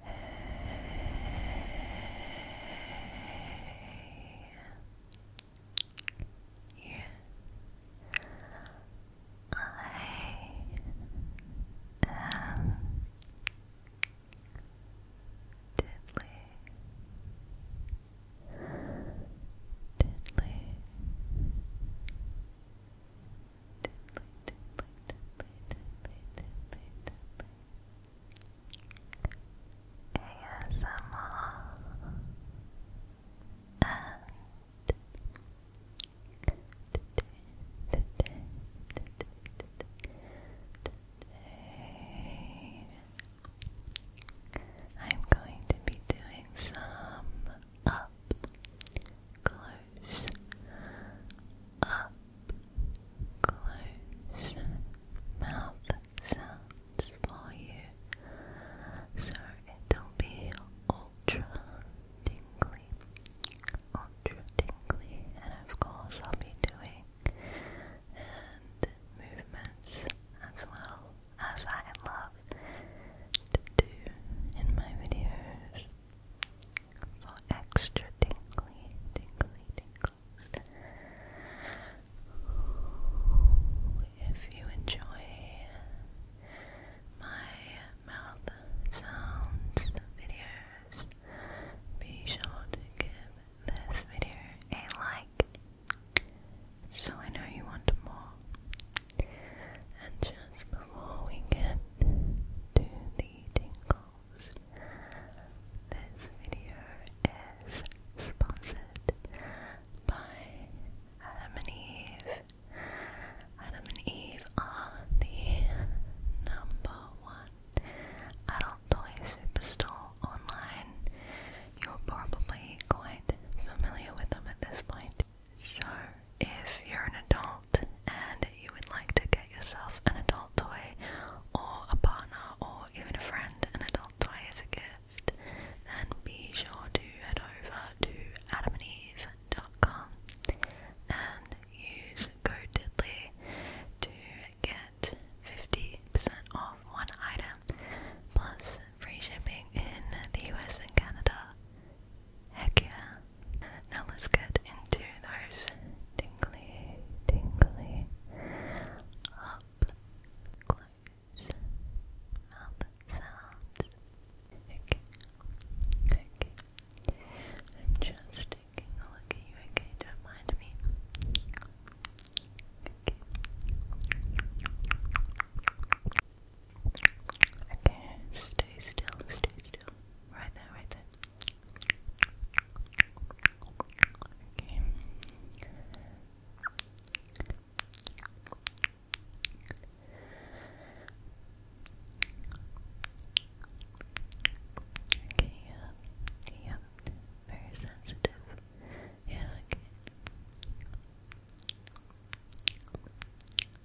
Hey. Yeah. I am deadly, deadly, today I'm going to be doing some up close up close mouth sounds for you so it'll be ultra tingly ultra tingly and of course I'll be doing and movements as well as I love to do in my videos for extra tingly, tingly tingles. If you enjoy my mouth sounds videos, be sure to give this video a like so I know you want more. And just before we get to the tingles, this video is sponsored by Adam and Eve. Adam and Eve are the number one adult toy superstore online. You're probably quite familiar with them at this point. So, if you're an adult and you would like to get yourself an adult toy, or a partner, or even a friend, an adult toy as a gift, then be sure to head over to Adam and Eve dot com and use code Diddly to get 50% off one item plus free shipping in the US and Canada. Heck yeah. Now let's get into those tingly, tingly, up close mouth sounds. Okay, okay. I'm just taking a look at you, okay? Don't mind me. Okay, stay still, stay still. Right there, right there. Okay. Okay, yeah, yeah, very sensitive. Yeah, okay.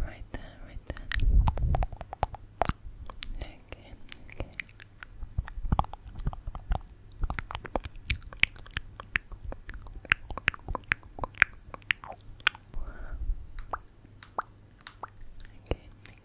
Right there, right there. Okay, okay. Okay, okay. Okay, yep, yep, yep,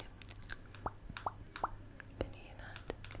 yep. Can you hear that? Can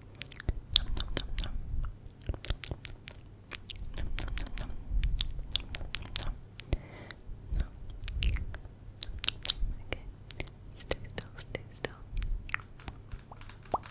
Nom, nom, nom, nom. Nom, nom, nom, nom. Nom, nom, nom. Okay. Stay still, stay still. Okay.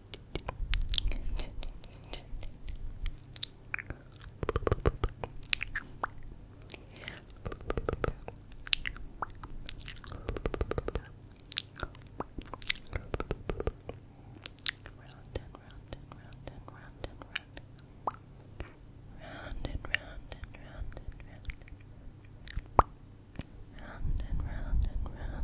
round and round and round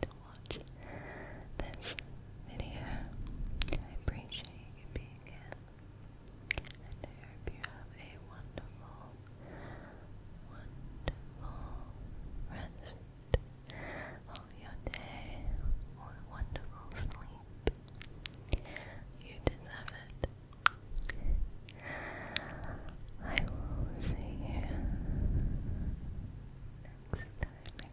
to watch this video. I appreciate you being here. I hope you have a wonderful, wonderful rest of your day or wonderful sleep. You deserve it. I will see you next time